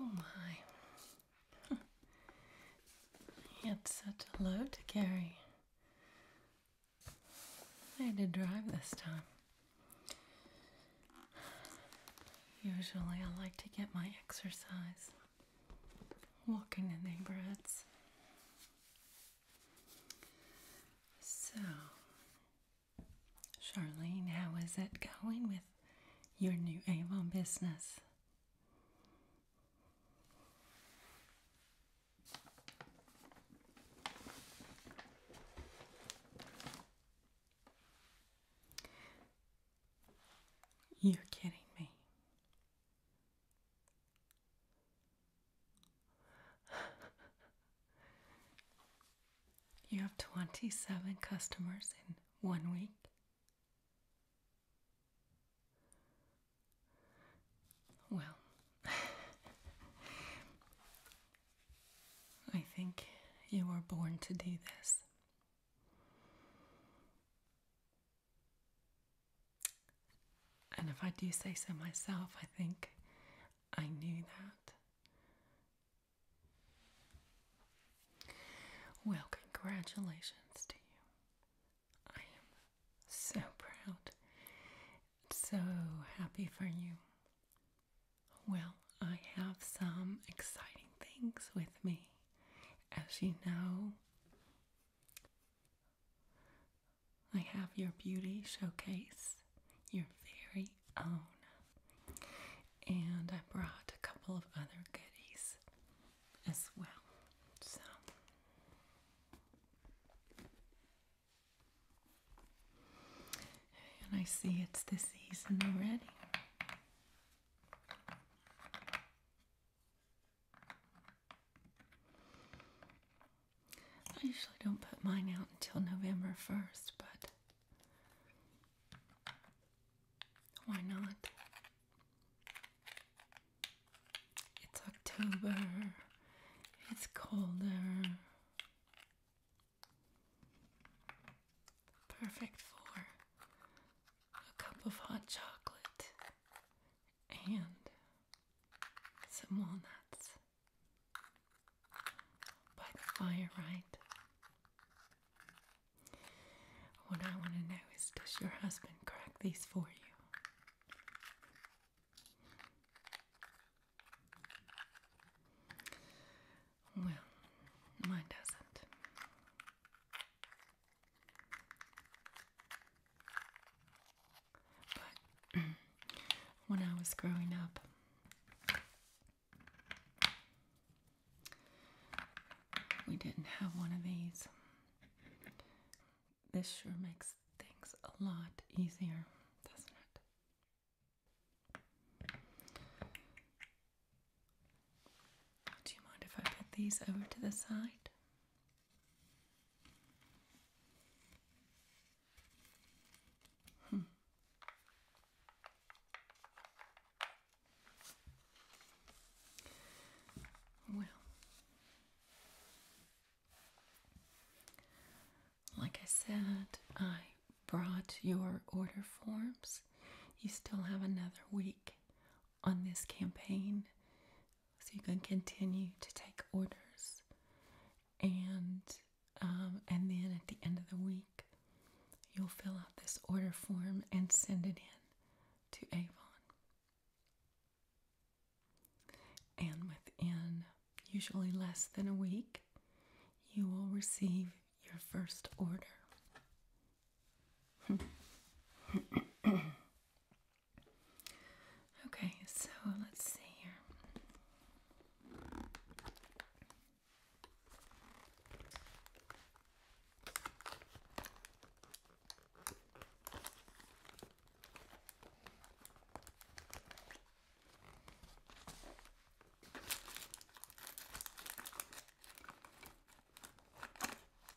Oh my. It's such a load to carry. I had to drive this time. Usually I like to get my exercise walking the neighborhoods. So, Charlene, how is it going with your new Avon business? You're kidding me you have 27 customers in one week. Well, I think you were born to do this. And if I do say so myself, I think I knew that. Well, congratulations to you. I am so proud, so happy for you. Well, I have some exciting things with me. As you know, I have your beauty showcase, your very own. And I brought a couple of other goodies as well. So and I see it's the season already. I usually don't put mine out until November 1st, but why not? It's October, it's colder. Perfect for a cup of hot chocolate and some walnuts by the fire, right? What I want to know is does your husband crack these for you? Well, mine doesn't. But when I was growing up, we didn't have one of these. This sure makes things a lot easier, doesn't it? Do you mind if I put these over to the side? Hmm. Well, like I said, I brought your order forms. You still have another week on this campaign so you can continue to take orders, and um, and then at the end of the week, you'll fill out this order form and send it in to Avon. And within usually less than a week, you will receive your first order. Okay, so let's see here.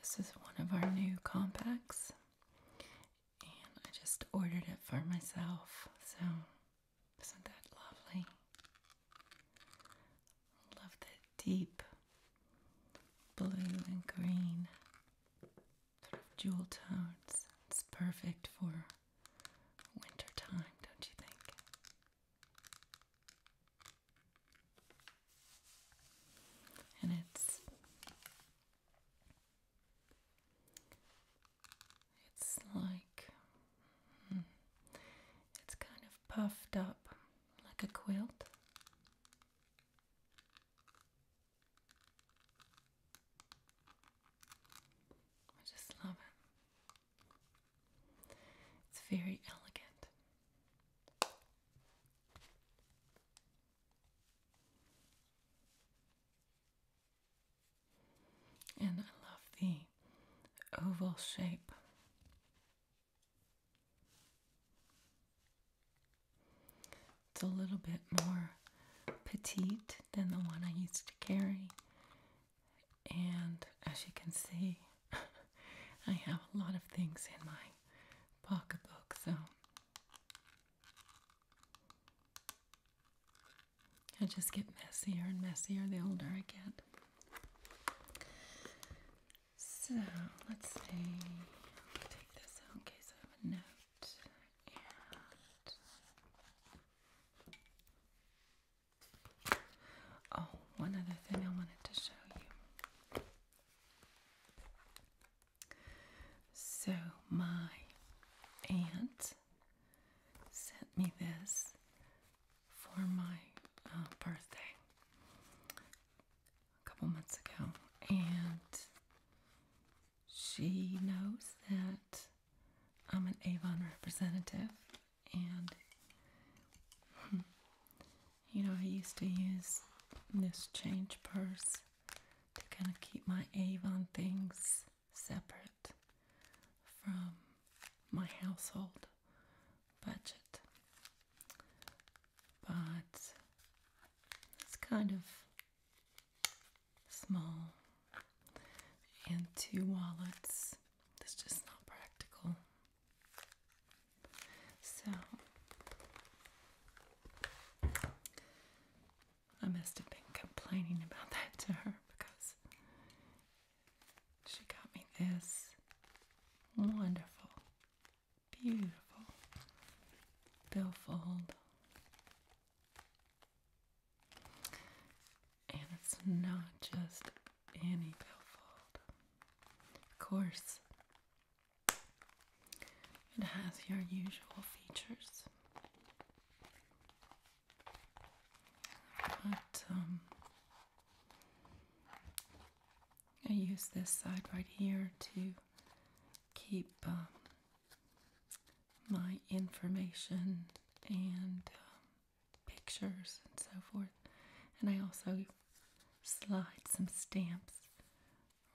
This is one of our new compacts, and I just ordered it for myself. So, isn't that lovely? Love that deep blue and green jewel tones. It's perfect for winter time, don't you think? and it's it's like hmm, it's kind of puffed up like a quilt. I just love it. It's very elegant. And I love the oval shape. It's a little bit more petite than the one I used to carry. And as you can see, I have a lot of things in my pocketbook, so I just get messier and messier the older I get. So let's see. take this out in case I have a note. And oh, one other thing I wanted to show you. So, my aunt sent me this for my uh, birthday a couple months ago, and she knows that I'm an Avon representative, and hmm, you know, I used to use this change purse to kind of keep my Avon things separate from my household budget. But it's kind of small, and two wallets, that's just not practical. So I must have been complaining about that to her because she got me this wonderful, beautiful billfold. And it's not just any billfold. Of course, it has your usual features, but um, I use this side right here to keep um, my information and um, pictures and so forth, and I also slide some stamps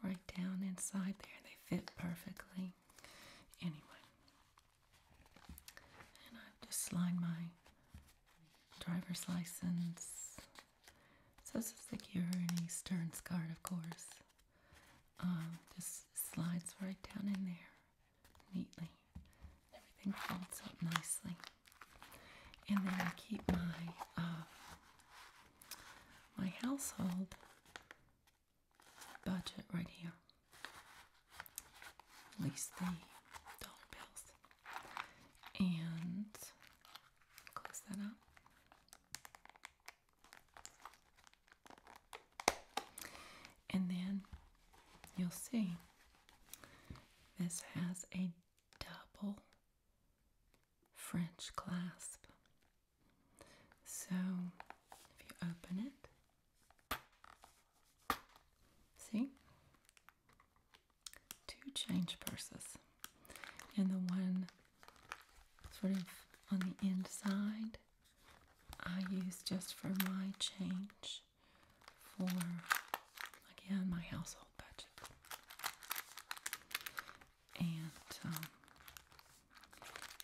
right down inside there. They fit perfectly. Anyway, and I've just lined my driver's license. So this is the Guarini card, of course. Um, just slides right down in there neatly. Everything folds up nicely. And then I keep my uh, my household budget right here. At least the dollar bills. And close that up. And then you'll see this has a double French clasp. So if you open it, see? Two change purses. And the one sort of on the inside, I use just for my change for, again, my household budget and um,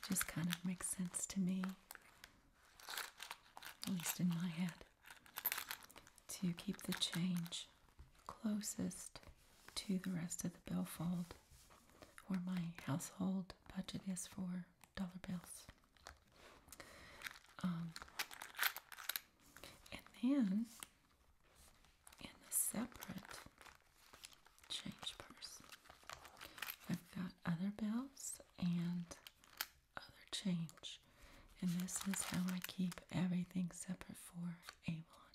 just kind of makes sense to me, at least in my head, to keep the change closest to the rest of the billfold, fold where my household budget is for dollar bills. Um, and then in a separate change purse. I've got other bills and other change. And this is how I keep everything separate for Avon.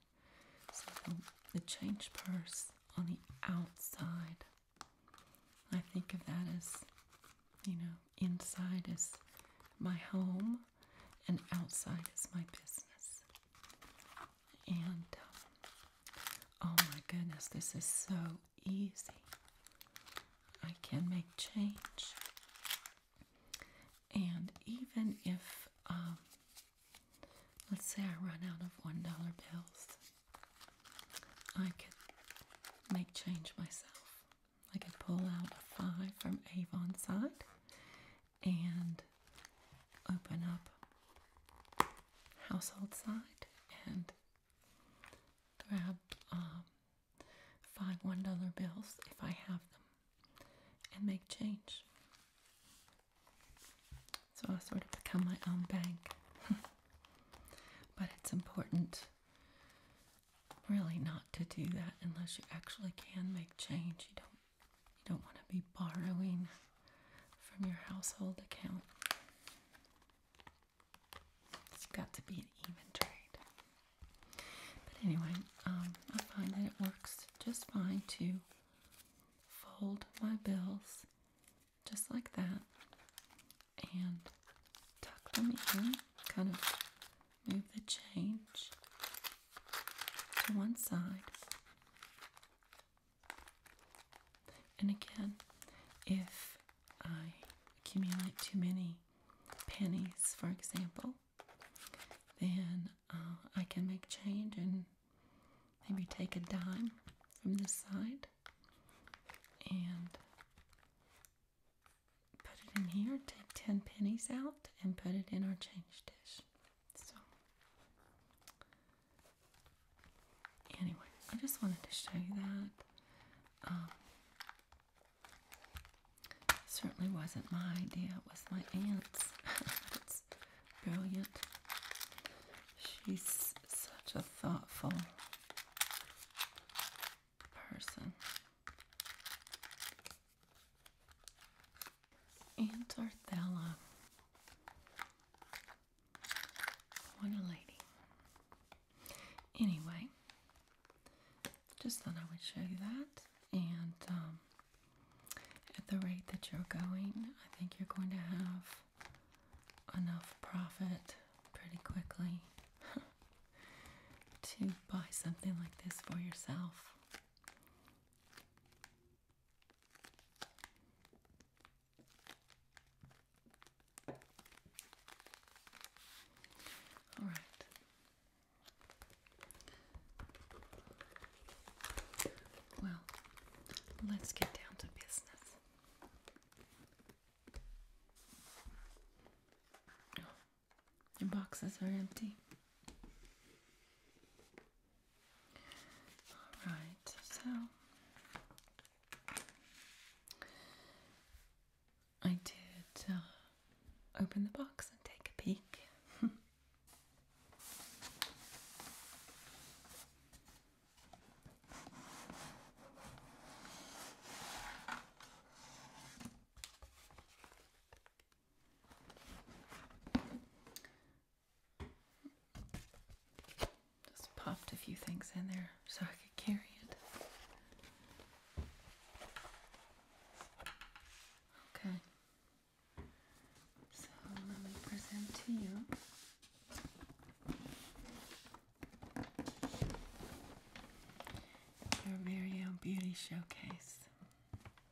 So the change purse on the outside, I think of that as, you know, inside is my home and outside is my business. And oh my goodness, this is so easy. I can make change. And even if, um, let's say I run out of $1 bills, I could make change myself. I could pull out a five from Avon side and open up household side and grab um, five one dollar bills if I have them and make change. So I sort of become my own bank. but it's important really not to do that unless you actually can make change. You don't you don't want to be borrowing from your household account. It's got to be an even trade. But anyway, um, I find that it works just fine to fold my bills just like that and tuck them in, kind of move the change to one side. And again, if I accumulate too many pennies, for example, then uh, I can make change and maybe take a dime from this side and put it in here, take 10 pennies out, and put it in our change dish. So, anyway, I just wanted to show you that. Um, certainly wasn't my idea, it was my aunt's. it's brilliant. She's such a thoughtful person. Antarthella. What a lady. Anyway, just thought I would show you that. And um, at the rate that you're going, I think you're going to have enough profit pretty quickly to buy something like this for yourself. All right. Well, let's get down to business. Oh, your boxes are empty. All right, so I did uh, open the box and take a peek. Just popped a few things in there so I could carry it. Okay. So let me present to you. Your very own beauty showcase.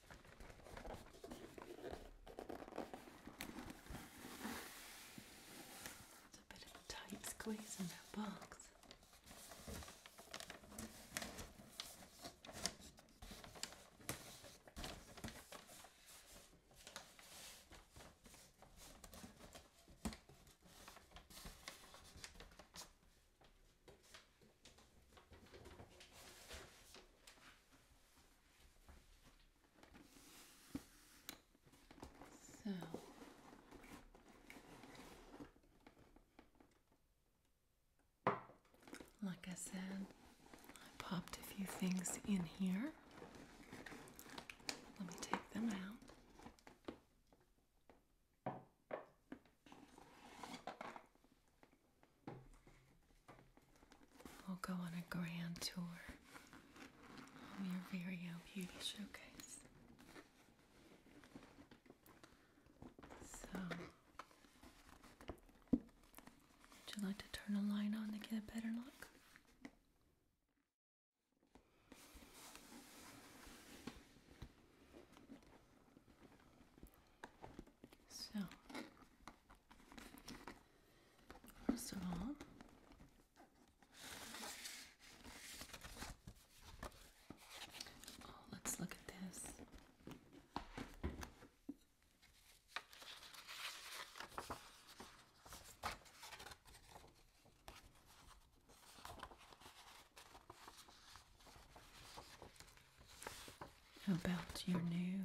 It's a bit of a tight squeeze in that box. So like I said, I popped a few things in here. Let me take them out. We'll go on a grand tour of oh, your very own beauty showcase. So, would you like to turn a light on to get a better look? So, first of all, oh, let's look at this about your new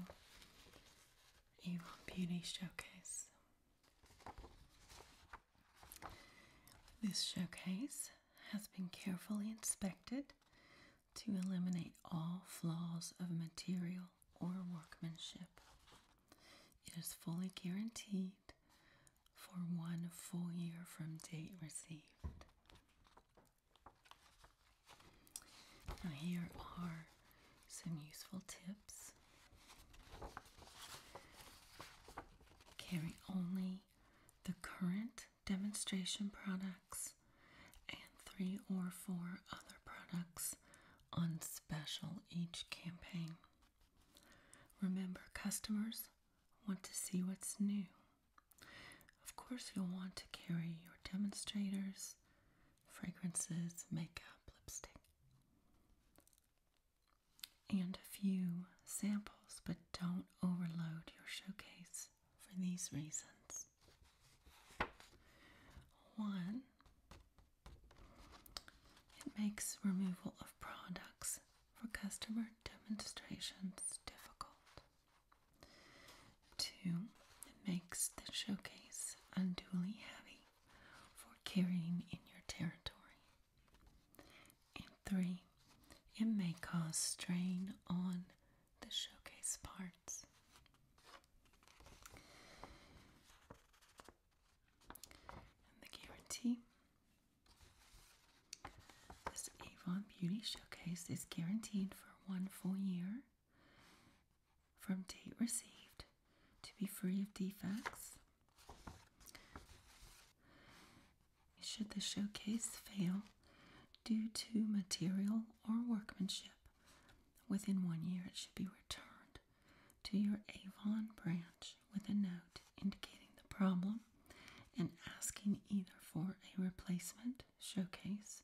Avon Beauty Showcase? This showcase has been carefully inspected to eliminate all flaws of material or workmanship. It is fully guaranteed for one full year from date received here are some useful tips. Carry only the current demonstration products and three or four other products on special each campaign. Remember, customers want to see what's new. Of course, you'll want to carry your demonstrators, fragrances, makeup, lipstick, and a few samples, but don't overload your showcase for these reasons. One, it makes removal of products for customer demonstrations difficult. Two, it makes the showcase unduly heavy for carrying in your territory. And three, it may cause strain on the showcase parts. And the guarantee. This Avon Beauty Showcase is guaranteed for one full year from date received to be free of defects. Should the showcase fail due to material or workmanship, within one year it should be returned to your Avon branch with a note indicating the problem and asking either for a replacement showcase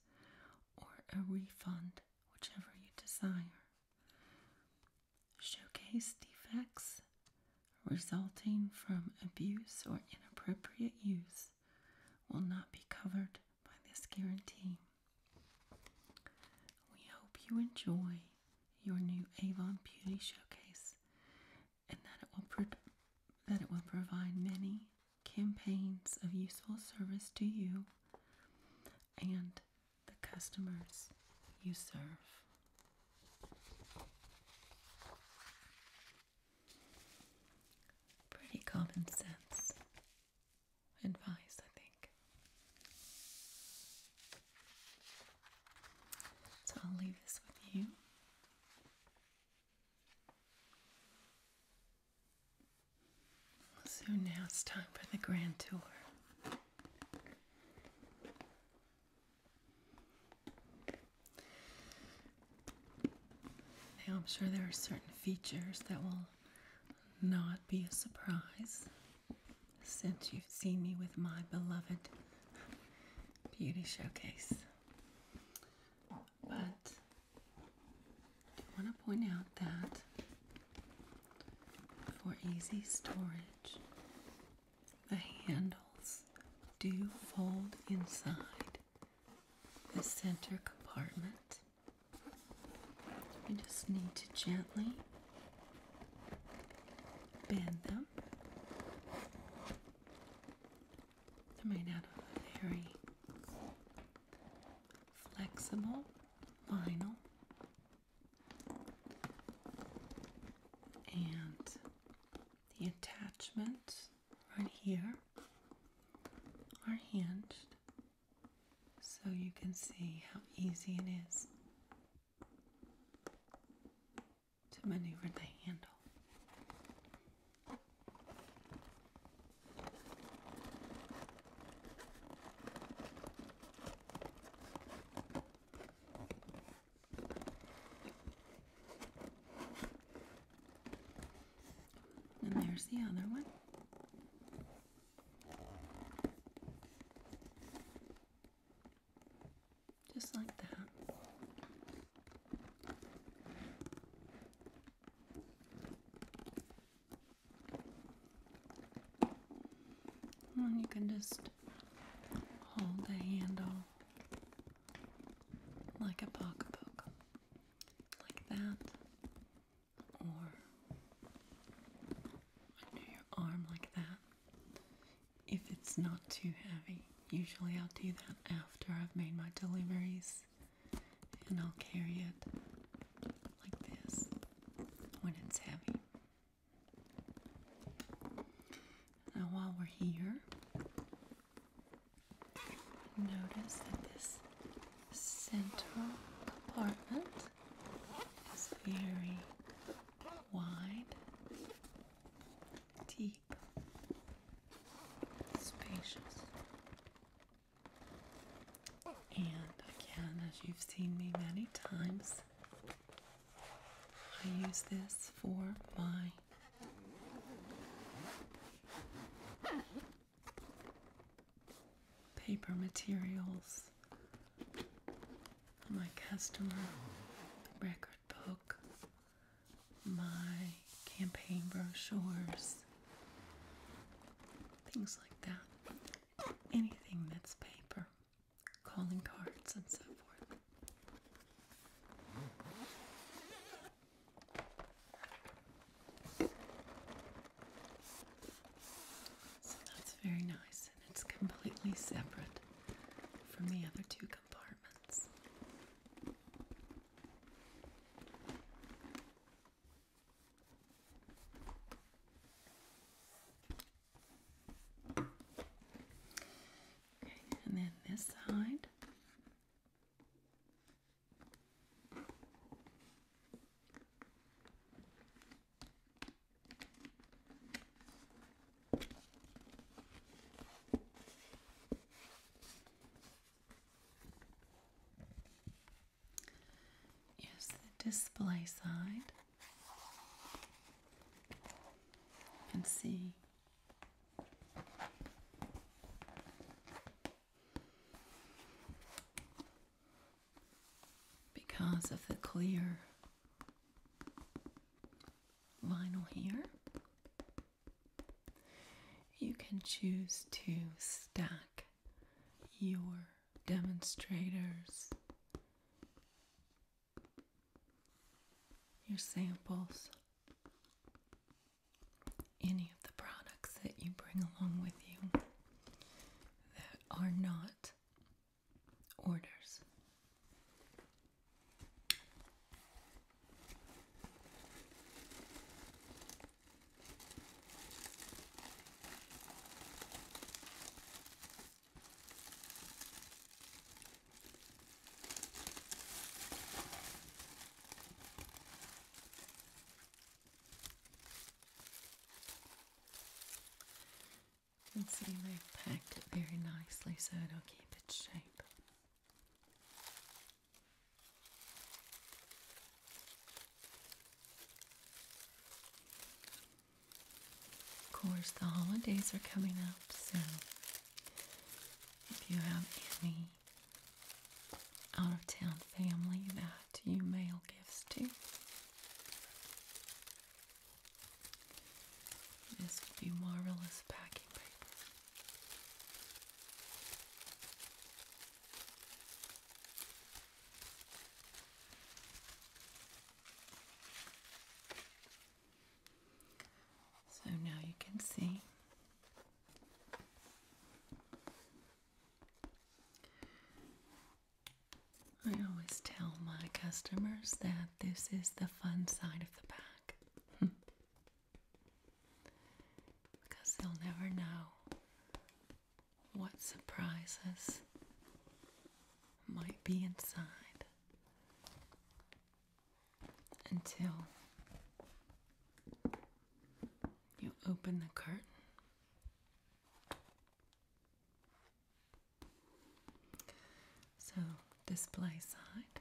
or a refund whichever you desire. Showcase defects resulting from abuse or inappropriate use will not be covered by this guarantee. We hope you enjoy your new Avon Beauty Showcase and that it will, that it will provide many campaigns of useful service to you and the customers you serve. Pretty common sense advice, I think. So I'll leave this with you. So now it's time for the grand tour. I'm sure there are certain features that will not be a surprise since you've seen me with my beloved beauty showcase but I want to point out that for easy storage, the handles do fold inside the center compartment. You just need to gently bend them. They're made out of very flexible vinyl and the attachments right here are hinged so you can see how easy it is to maneuver the handle. And there's the other one. Just like that you can just hold the handle like a pocketbook, like that, or under your arm, like that. If it's not too heavy, usually I'll do that after I've made my deliveries and I'll carry it like this when it's heavy. Now, while we're here, notice that this central compartment is very wide, deep, spacious. And again, as you've seen me many times, I use this for my paper materials, my customer record book, my campaign brochures, things like that. Anything that's paper, calling cards, and so forth. So that's very nice, and it's completely separate from the other two compartments. Okay, and then this side. Here's the display side. You can see because of the clear vinyl here, you can choose to stack your demonstrators, your samples, any of the products that you bring along with you that are not orders. You can see they've packed it very nicely so it'll keep its shape. Of course, the holidays are coming up, so if you have any out of town family that you mail gifts to, this would be marvelous packing paper. So now you can see I always tell my customers that this is the fun side of the pack because they'll never know what surprises might be inside until you open the curtain. So, display side.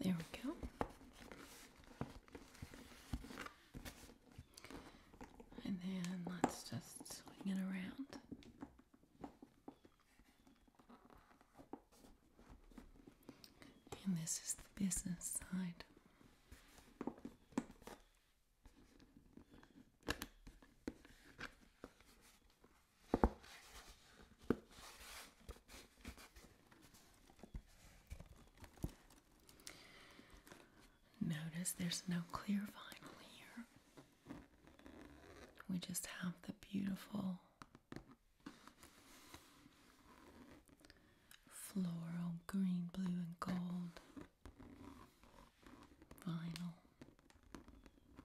There we go. And then let's just swing it around. And this is the business side. Notice there's no clear vinyl here. We just have the beautiful floral green, blue, and gold vinyl.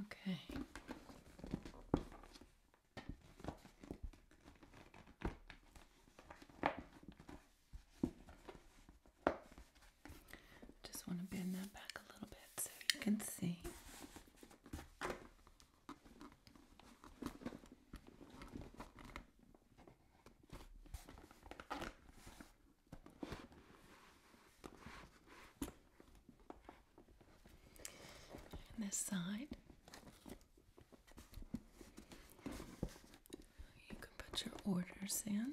Okay. Just want to bend that back a little bit so you can see. And this side. You can put your orders in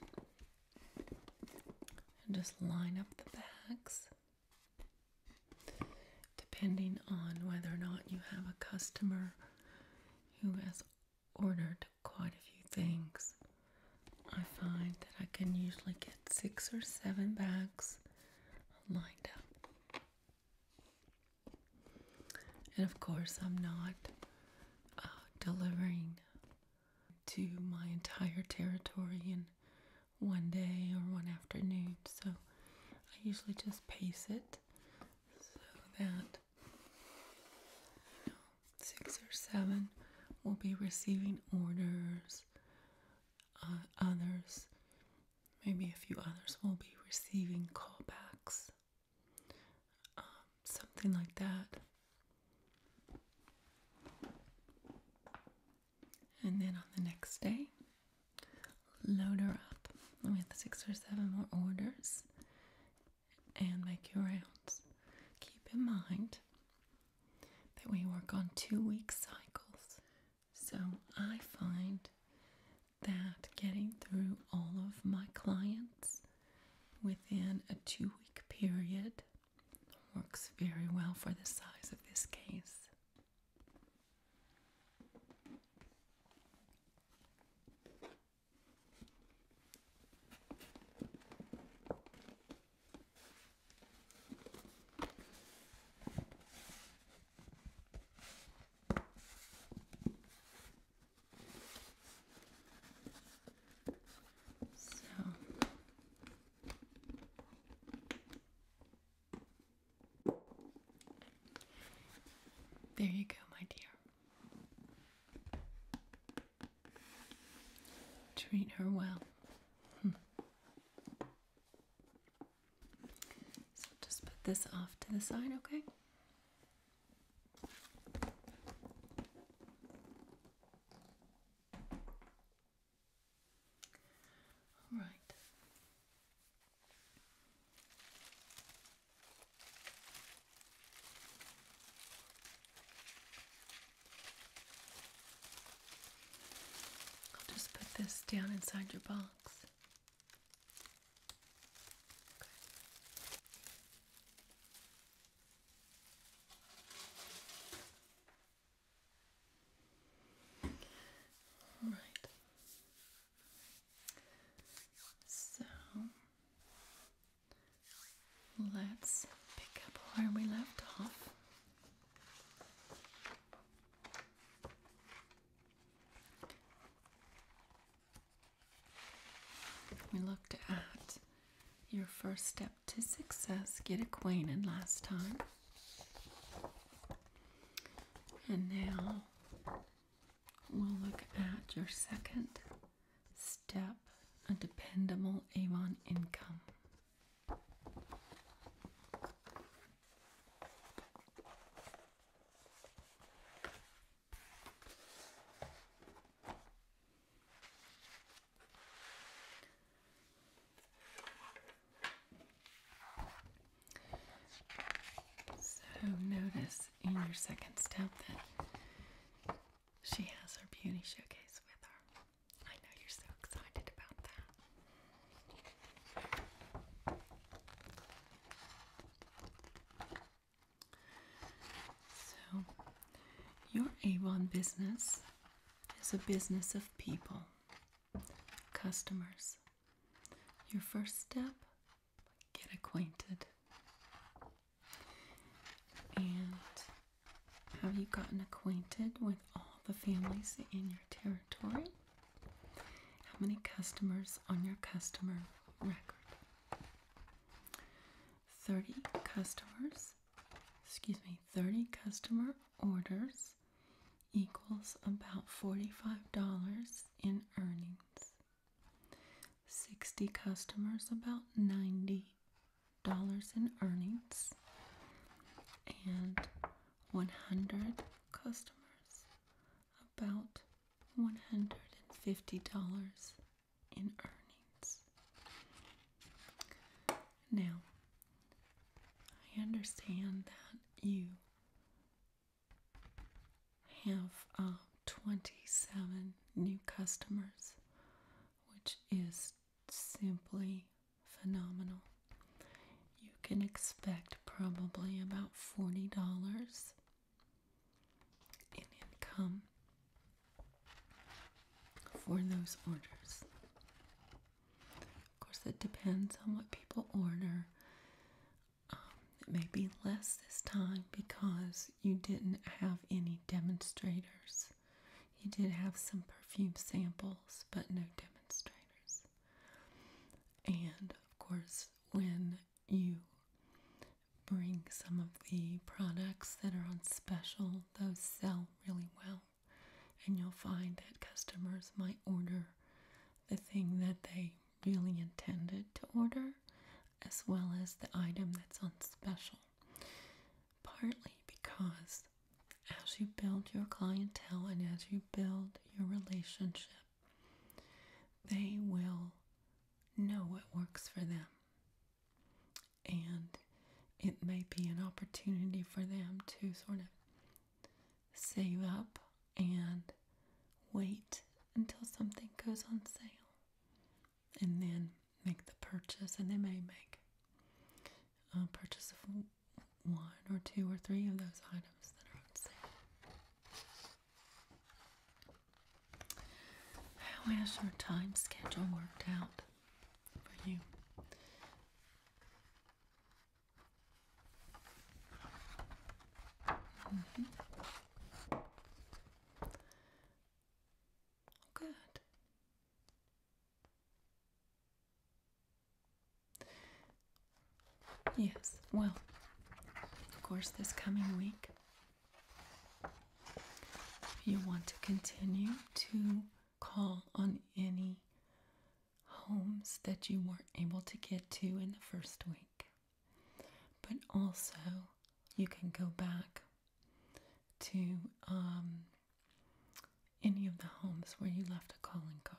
and just line up the bags depending on whether or not you have a customer who has ordered quite a few things. I find that I can usually get six or seven bags lined up. And of course, I'm not uh, delivering to my entire territory in one day or one afternoon, so I usually just pace it so that six or seven will be receiving orders. Uh, others, maybe a few others, will be receiving callbacks. Um, something like that. And then on the next day, load her up with six or seven more orders and make your rounds. Keep in mind that we work on two week cycles. So I find that getting through all of my clients within a two week period works very well for the size of this case. So there you go, my dear. Treat her well. Hmm. So just put this off to the side, okay? All right. I'll just put this down inside your box. Okay. All right. So Let's pick up where we left off. We looked at your first step to success, get acquainted last time. And now we'll look at your second step, a dependable Avon income. So notice in your second step that she has her beauty showcase with her. I know you're so excited about that. So, your Avon business is a business of people, customers. Your first step, get acquainted. And have you gotten acquainted with all the families in your territory? How many customers on your customer record? 30 customers, excuse me, 30 customer orders equals about $45 in earnings. 60 customers, about 90 dollars in earnings and 100 customers about $150 in earnings. Now, I understand that you have uh, 27 new customers, which is simply phenomenal. You can expect probably about $40 in income for those orders. Of course, it depends on what people order. Um, it may be less this time because you didn't have any demonstrators. You did have some perfume samples, but no demonstrators. And of course, when you bring some of the products that are on special, those sell really well. And you'll find that customers might order the thing that they really intended to order, as well as the item that's on special partly because as you build your clientele and as you build your relationship, they will know what works for them. And it may be an opportunity for them to sort of save up and wait until something goes on sale and then make the purchase, and they may make a purchase of one or two or three of those items that are on sale. How has your time schedule worked out for you? Mm-hmm. Good. Yes, well, of course, this coming week, if you want to continue to call on any homes that you weren't able to get to in the first week, but also you can go back to um, any of the homes where you left a calling card.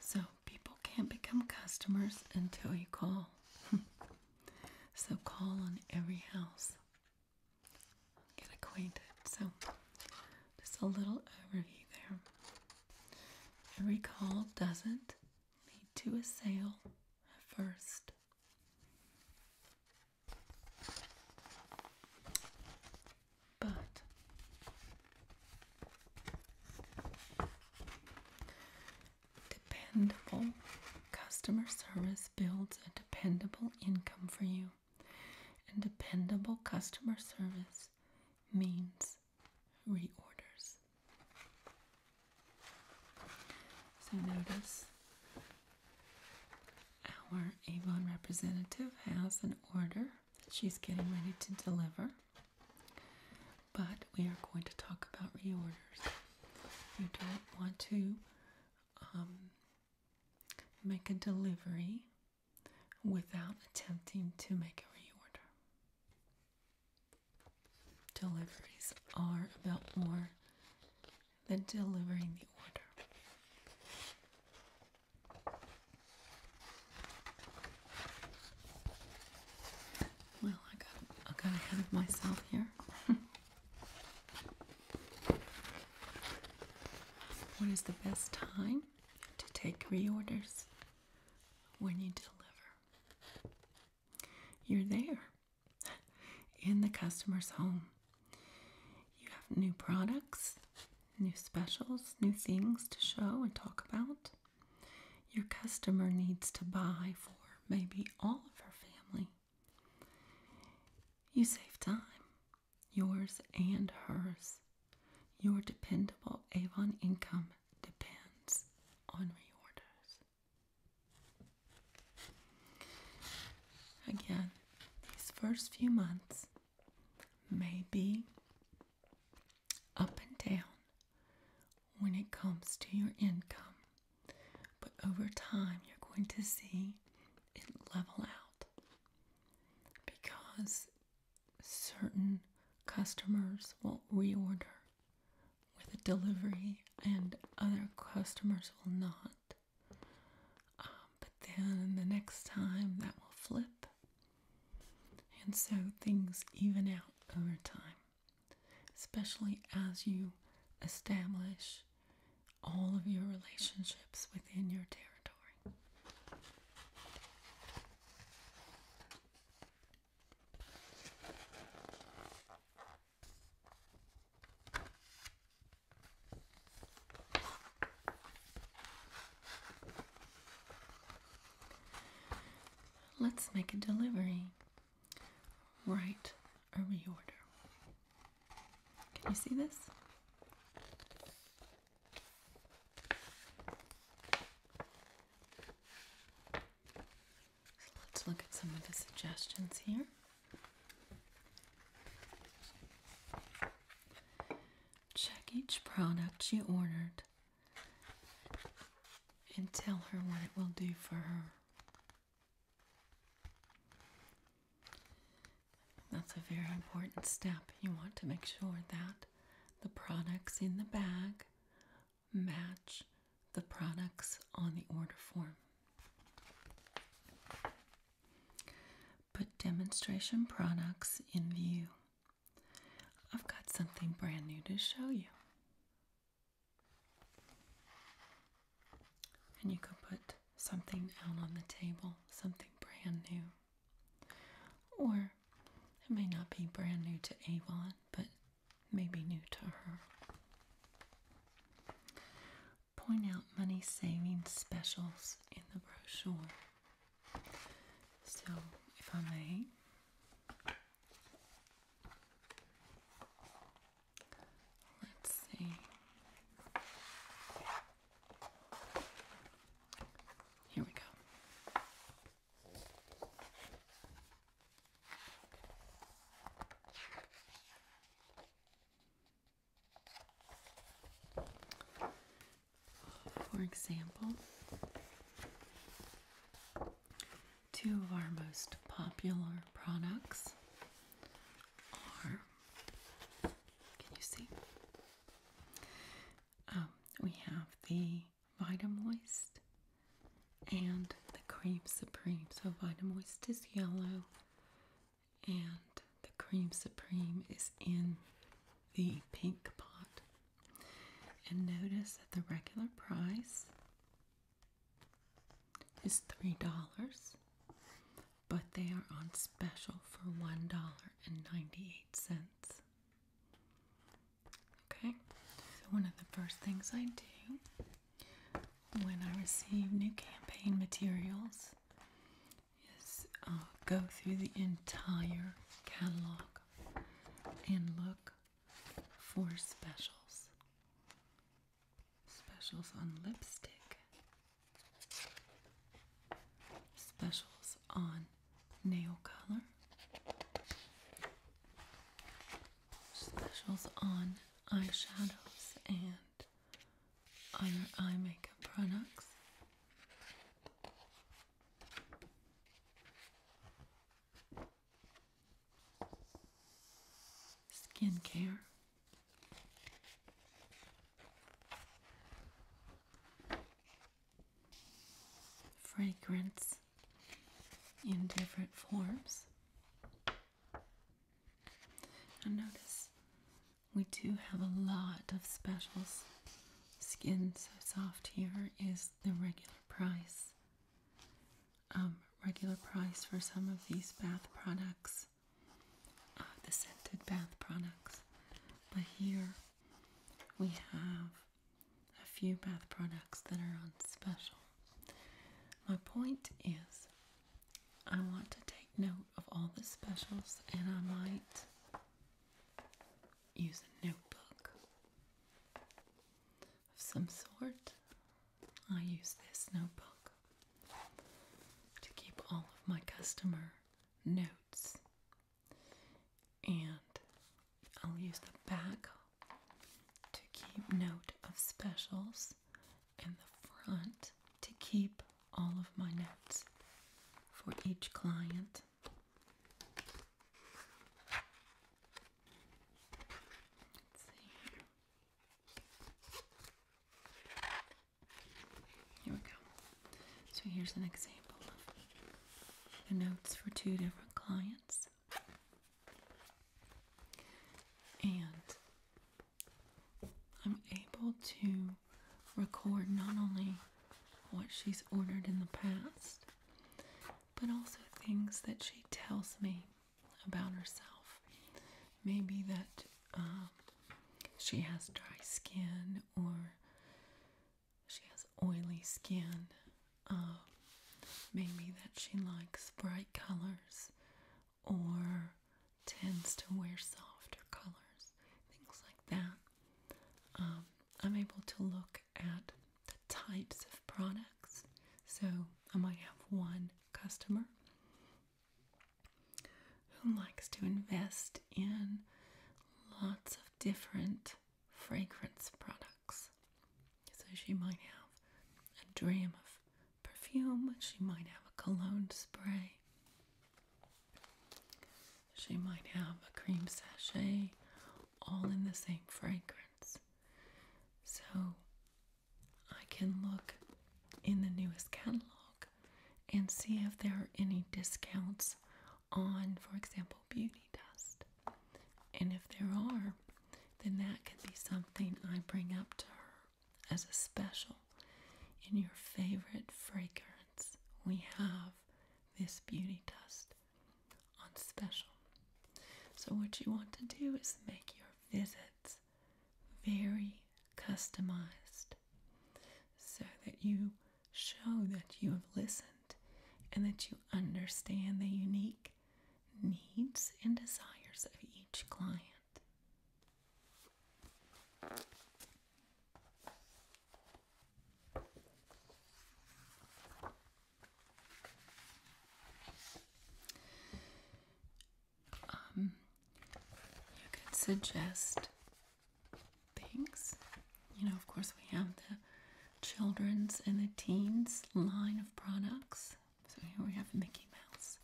So, people can't become customers until you call. so, call on every house get acquainted. So, just a little overview there. Every call doesn't lead to a sale at first. But dependable customer service builds a dependable income for you. And dependable customer service means reorders. So notice our Avon representative has an order that she's getting ready to deliver, but we are going to talk about reorders. You don't want to um, Make a delivery without attempting to make a reorder. Deliveries are about more than delivering the order. Well, I got ahead of myself here. What is the best time to take reorders? When you deliver, you're there in the customer's home. You have new products, new specials, new things to show and talk about. Your customer needs to buy for maybe all of her family. You save time Yours and hers. Your dependable Avon income depends on reorders. Again, these first few months may be up and down when it comes to your income, but over time you're going to see it level out because certain customers will reorder with a delivery and other customers will not. Um, but then the next time that will flip. And so things even out over time, especially as you establish all of your relationships within your territory. Let's make a delivery. Write a order. Can you see this? let's look at some of the suggestions here. Check each product you ordered and tell her what it will do for her. That's a very important step. You want to make sure that the products in the bag match the products on the order form. Put demonstration products in view. I've got something brand new to show you. And you can put something out on the table, something brand new. Or it may not be brand new to Avon, but maybe new to her. Point out money saving specials in the brochure. So, if I may, let's see. Here we go. For example, two of our most popular products can you see? Um, we have the Vitamoist and the Cream Supreme. So, Vitamoist is yellow, and the Cream Supreme is in the pink pot. And notice that the regular price is $3 but they are on special for $1.98. Okay, so one of the first things I do when I receive new campaign materials is uh, go through the entire catalog and look for specials. Specials on lipstick, Specials on nail color. Specials on eyeshadows and other eye makeup products. Skincare fragrance in different forms. And notice we do have a lot of specials. Skin So Soft here is the regular price. Um, regular price for some of these bath products uh, the scented bath products. But here we have a few bath products that are on special. My point is, I want to take note of all the specials and I might use a notebook of some sort. I use this notebook to keep all of my customer notes. And I'll use the back to keep note of specials and the front to keep all of my notes for each client. Here we go. So here's an example of the notes for two different clients. And I'm able to record not only what she's ordered in the past, but also things that she tells me about herself. Maybe that um, she has dry skin or she has oily skin. Uh, maybe that she likes bright colors or tends to wear softer colors, things like that. Um, I'm able to look at the types of products. So I might have one customer who likes to invest in lots of different fragrance products. So she might have a dream of perfume, she might have a cologne spray, she might have a cream sachet, all in the same fragrance. So I can look in the newest catalog and see if there are any discounts on, for example, beauty dust. And if there are, then that could be something I bring up to her as a special in your favorite fragrance. We have this beauty dust on special. So, what you want to do is make your visits very customized so that you show that you have listened and that you understand the unique needs and desires of each client. Um, you could suggest things. You know, of course, we have the children's and the teens line of products. So here we have Mickey Mouse.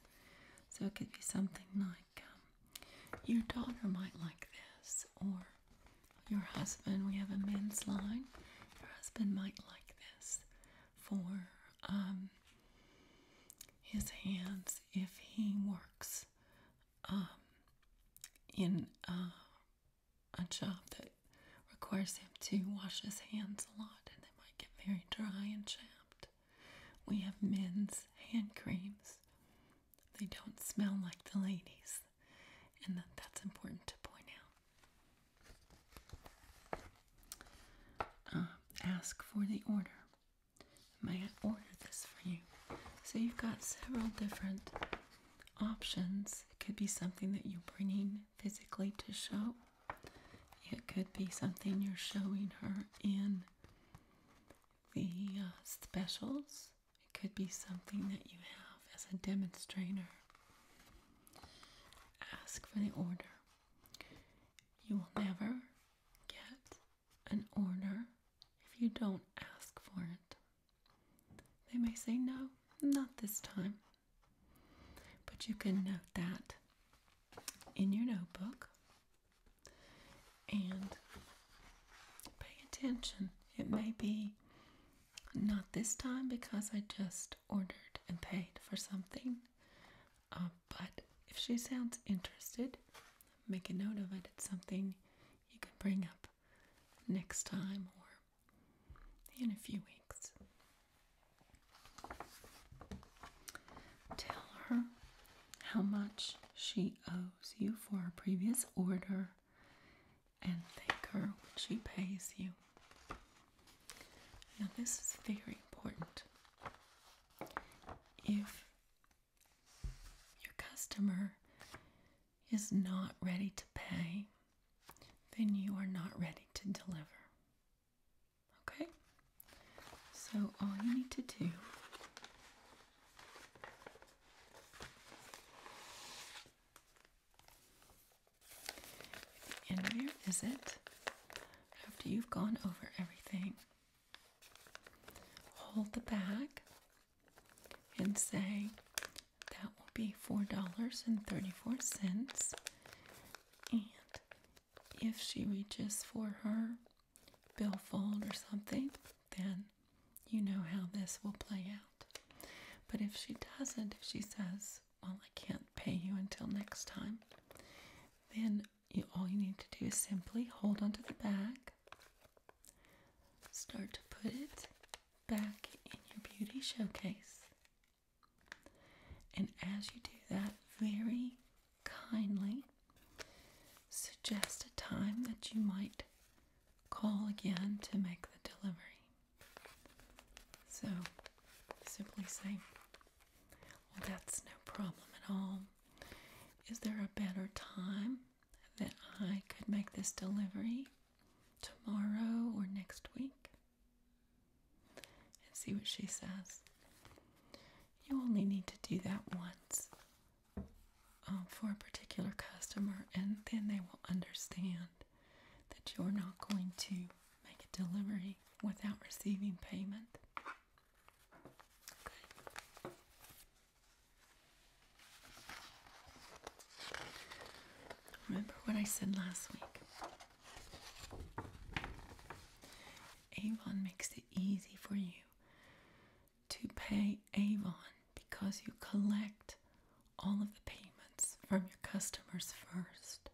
So it could be something like um, your daughter might like this, or your husband. We have a men's line. Your husband might like this for um, his hands if he works um, in uh, a job that requires him to wash his hands a lot and they might get very dry and chapped. We have men's hand creams. They don't smell like the ladies, and that, that's important to point out. Uh, ask for the order. May I order this for you? So you've got several different options. It could be something that you're bringing physically to show. It could be something you're showing her in the uh, specials. It could be something that you have as a demonstrator. Ask for the order. You will never get an order if you don't ask for it. They may say, no, not this time. But you can note that in your notebook and pay attention. It may be not this time because I just ordered and paid for something. Uh, but if she sounds interested, make a note of it. It's something you can bring up next time or in a few weeks. Tell her how much she owes you for a previous order and thank her when she pays you. Now, this is very important. If your customer is not ready to pay, then you are not ready to deliver. Okay? So all you need to do at the end after you've gone over everything, hold the bag and say that will be $4.34. And if she reaches for her billfold or something, then you know how this will play out. But if she doesn't, if she says, Well, I can't pay you until next time, then you, all you need to do is simply hold onto the bag Start to put it back in your beauty showcase. And as you do that, very kindly suggest a time that you might call again to make the delivery. So simply say, Well, that's no problem at all. Is there a better time that I could make this delivery tomorrow or next week and see what she says. You only need to do that once um, for a particular customer, and then they will understand that you're not going to make a delivery without receiving payment. Remember what I said last week? Avon makes it easy for you to pay Avon because you collect all of the payments from your customers first.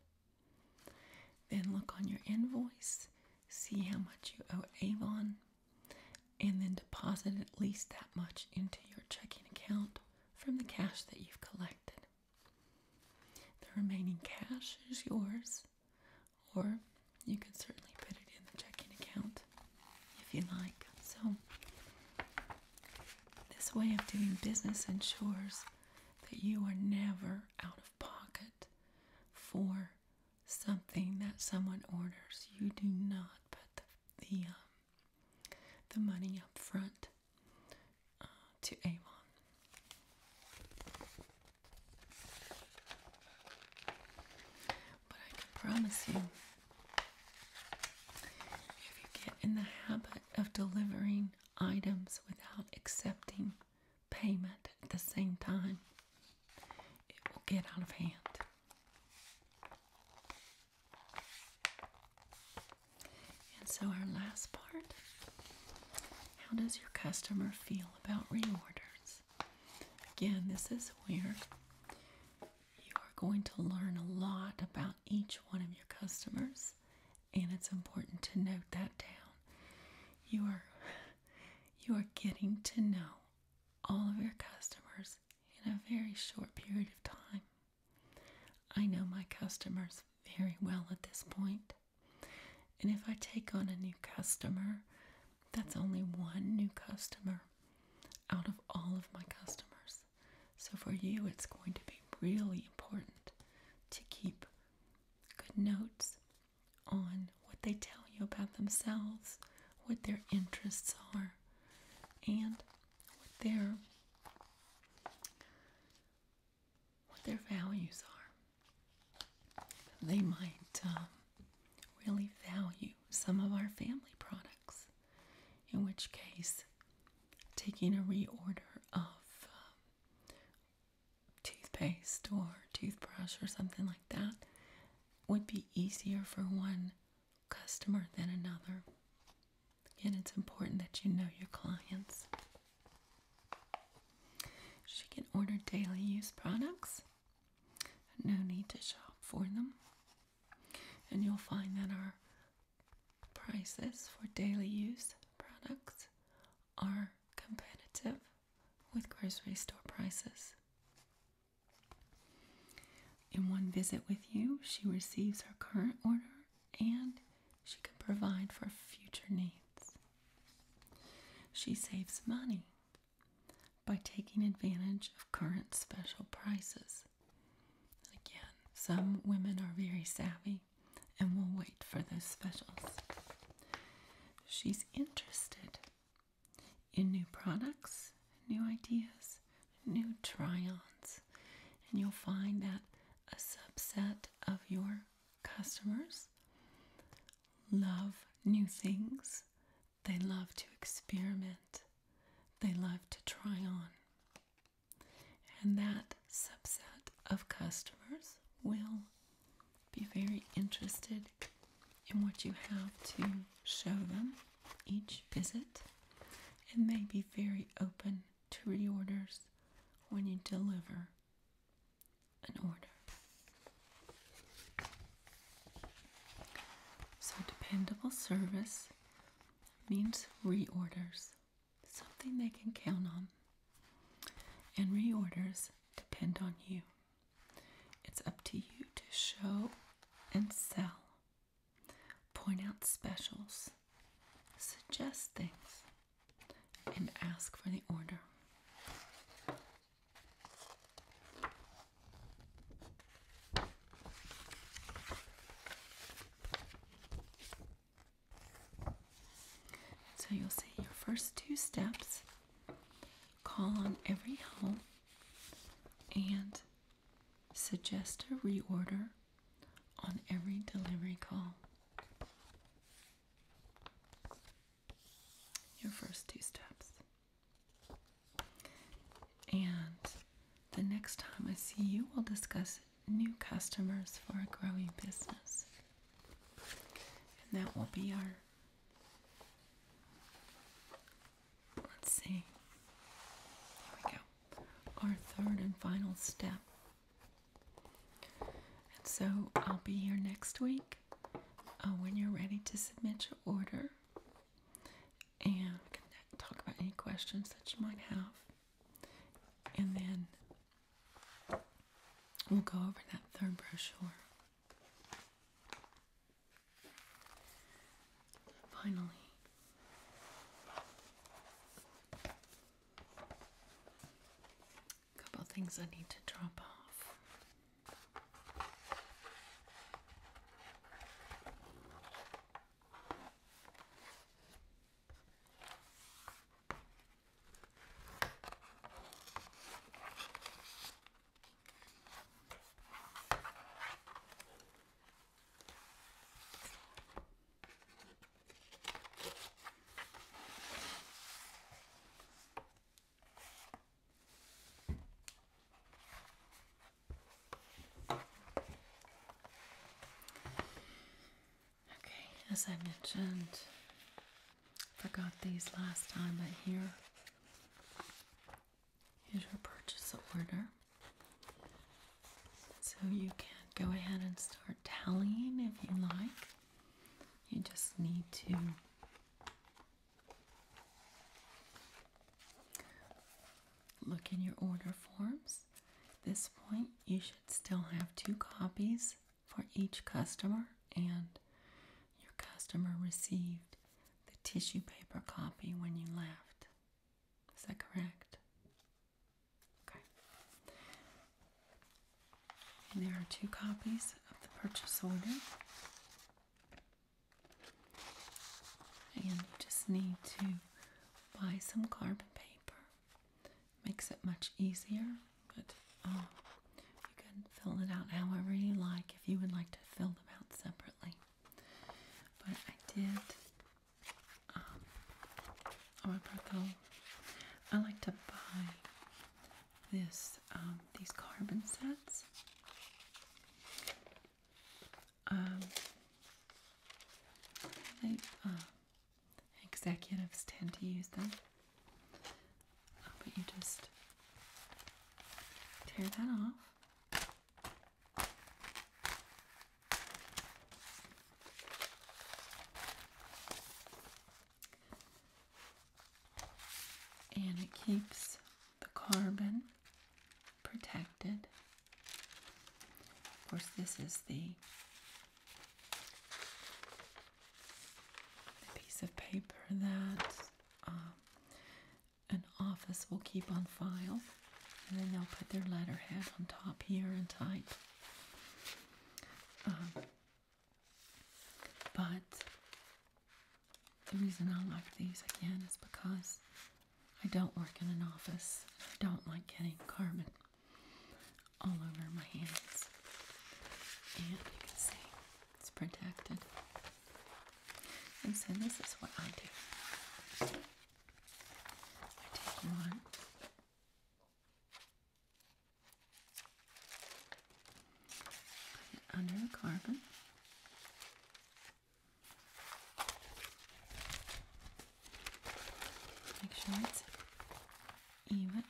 Then look on your invoice, see how much you owe Avon, and then deposit at least that much into your checking account from the cash that you've collected. The remaining cash is yours, or you can certainly put it in the checking account if you like. So, this way of doing business ensures that you are never out of pocket for something that someone orders, you do not put the the, um, money up front uh, to Avon. But I can promise you, if you get in the habit of delivering items without accepting payment at the same time, it will get out of hand. And so, our last part how does your customer feel about reorders? Again, this is where you are going to learn a lot about each one of your customers, and it's important to note that down. You are you are getting to know all of your customers in a very short period of time. I know my customers very well at this And if I take on a new customer, that's only one new customer out of all of my customers. So for you, it's going to be really important to keep good notes on what they tell you about themselves, what their interests are, and what their what their values are. They might um, really value some of our family products, in which case, taking a reorder of um, toothpaste or toothbrush or something like that would be easier for one customer than another. And it's important that you know your clients. She can order daily use products. No need to shop for them. And you'll find that our prices for daily use products are competitive with grocery store prices. In one visit with you, she receives her current order and she can provide for future needs. She saves money by taking advantage of current special prices. Again, some women are very savvy and will wait for those specials. She's interested in new products, new ideas, new try ons. And you'll find that a subset of your customers love new things, they love to experiment, they love to try on. And that subset of customers will be very interested and what you have to show them each visit, and they be very open to reorders when you deliver an order. So, dependable service means reorders, something they can count on, and reorders depend on you. It's up to you to show and sell, point out specials, suggest things, and ask for the order. So you'll see your first two steps call on every home and Suggest a reorder on every delivery call. Your first two steps. And the next time I see you, we'll discuss new customers for a growing business. And that will be our Let's see. Here we go. Our third and final step. And so I'll be here next week uh, when you're ready to submit your order and talk about any questions that you might have. And then we'll go over that third brochure. Finally. A couple things I need to drop off. Okay, as I mentioned, forgot these last time, but here Here's your purchase order. So you can go ahead and start tallying if you like. You just need to look in your order forms. At this point, you should still have two copies for each customer, and your customer received the tissue paper copy when you left. Is that correct? Okay. there are two copies of the purchase order. And you just need to buy some carbon paper. Makes it much easier, but um, you can fill it out however you like if you would like to fill them out separately. But I did um oh, I like to buy this um these carbon sets. Um uh, executives tend to use them. Uh, but you just tear that off and it keeps the carbon protected. Of course, this is the, piece of paper that um, an office will keep on file, and then they'll put their letterhead on top here and type. Um, but the reason I like these again is because I don't work in an office. I don't like getting carbon all over my hands. And you can see it's protected. And so this is what I do. I take one. Put it under the carbon. Make sure it's even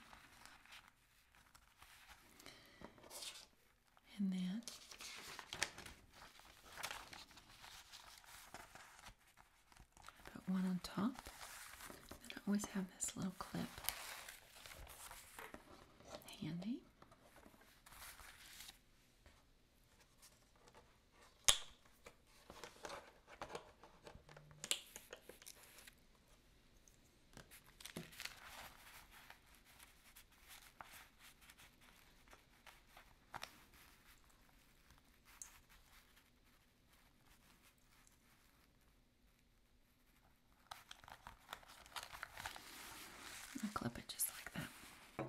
and then I put one on top. I always have this little clip handy. I clip it just like that.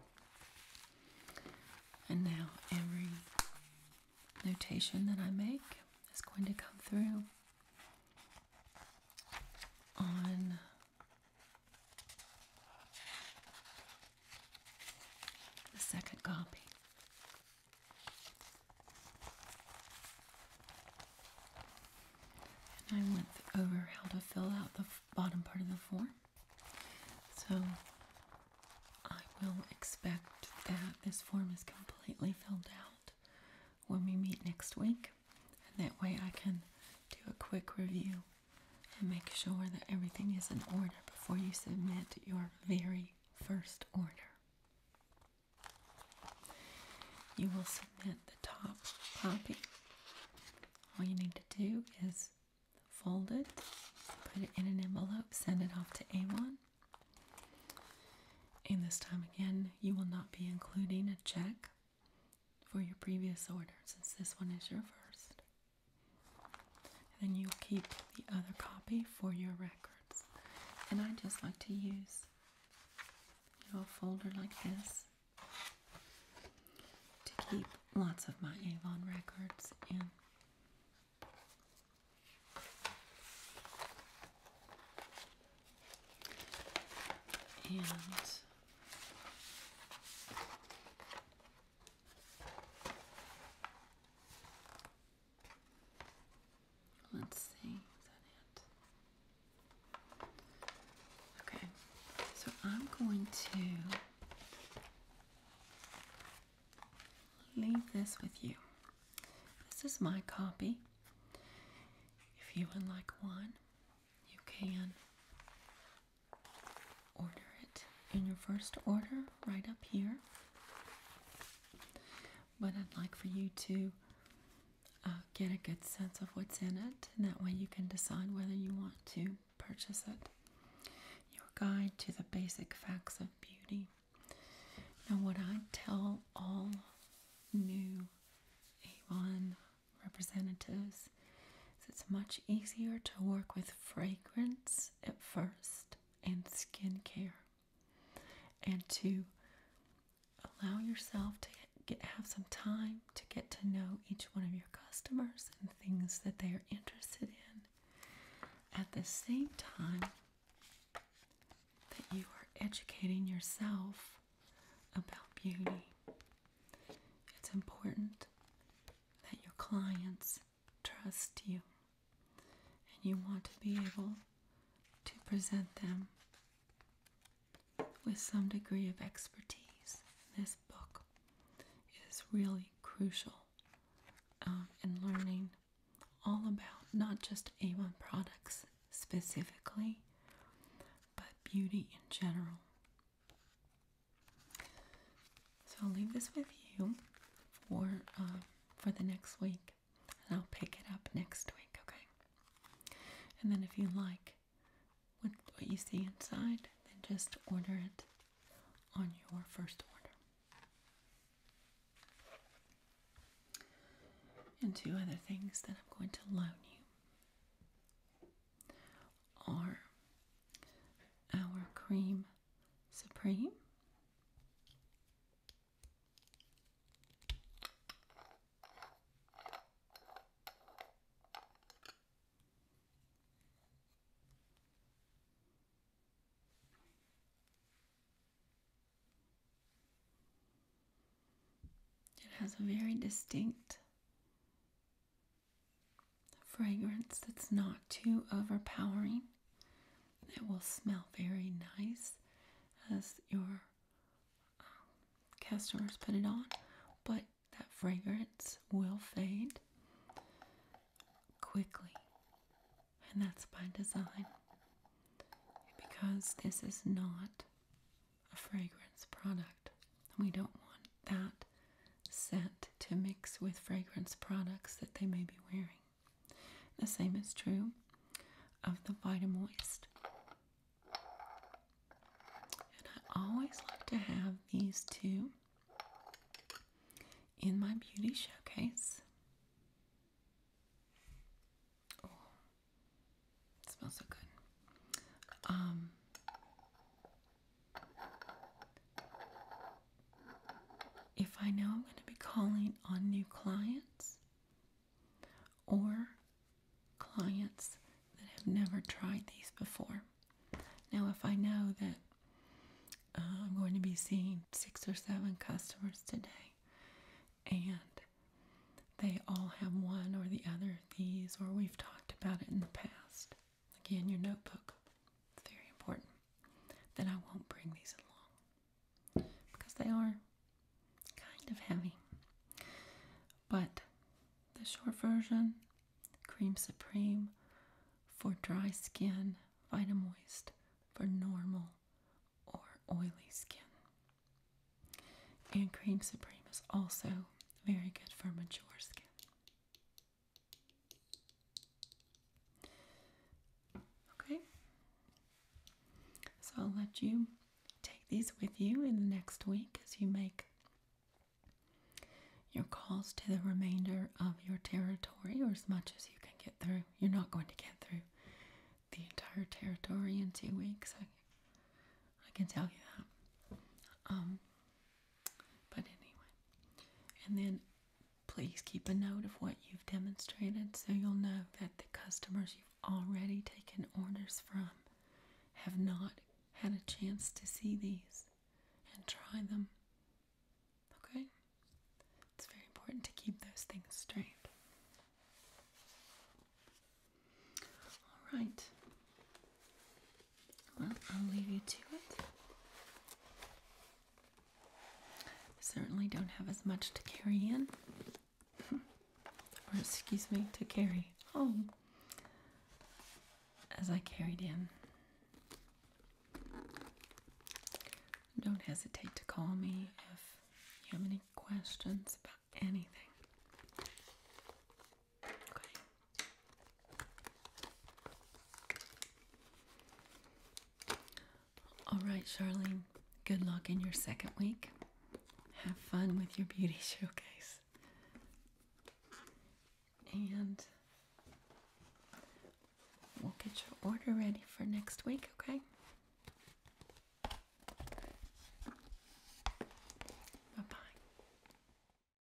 And now every notation that I make is going to come through on the second copy. I went over how to fill out the bottom part of the form. So I will expect that this form is completely filled out when we meet next week. And that way I can do a quick review and make sure that everything is in order before you submit your very first order. You will submit the top copy. All you need to do is fold it, put it in an envelope, send it off to a And this time again, you will not be including a check for your previous order since this one is your first. then you'll keep the other copy for your records. And I just like to use you know, folder like this to keep lots of my Avon records in. And Let's see, is that it? Okay, so I'm going to leave this with you. This is my copy. If you would like one, you can order it in your first order right up here. But I'd like for you to uh, get a good sense of what's in it, and that way you can decide whether you want to purchase it. Your guide to the basic facts of beauty. Now, what I tell all new Avon representatives. it's much easier to work with fragrance at first and skincare and to allow yourself to get, have some time to get to know each one of your customers and things that they are interested in at the same time that you are educating yourself about beauty. It's important that your clients trust you and you want to be able to present them with some degree of expertise. This book is really crucial um, in learning all about not just a products specifically, but beauty in general so I'll leave this with you for uh, for the next week, and I'll pick it up next week. Okay. And then if you like what you see inside, then just order it on your first order. And two other things that I'm going to loan you are our cream supreme it has a very distinct a fragrance that's not too overpowering. It will smell very nice as your um, customers put it on, but that fragrance will fade quickly, and that's by design because this is not a fragrance product. We don't want that scent to mix with fragrance products that they may be wearing. The same is true of the Vitamoist. And I always like to have these two in my beauty showcase. Oh, smells so good. Um, if I know I'm going to be calling on new clients or clients that have never tried these before. Now, if I know that uh, I'm going to be seeing six or seven customers today and they all have one or the other of these, or we've talked about it in the past. Again, your notebook. It's very important. Then I won't bring these along because they are kind of heavy. But the short version Cream Supreme for dry skin, Vitamoist for normal or oily skin. And Cream Supreme is also very good for mature skin. Okay, so I'll let you take these with you in the next week as you make your calls to the remainder of your territory or as much as you can get through. You're not going to get through the entire territory in two weeks. I, can tell you that. Um, but anyway, and then please keep a note of what you've demonstrated so you'll know that the customers you've already taken orders from have not had a chance to see these and try them. Okay? It's very important to keep those things straight. All right. Well, I'll leave you to it. Certainly don't have as much to carry in. or, excuse me, to carry home as I carried in. Don't hesitate to call me if you have any questions about anything. All right, Charlene, good luck in your second week. Have fun with your beauty showcase. And we'll get your order ready for next week, okay? Bye bye.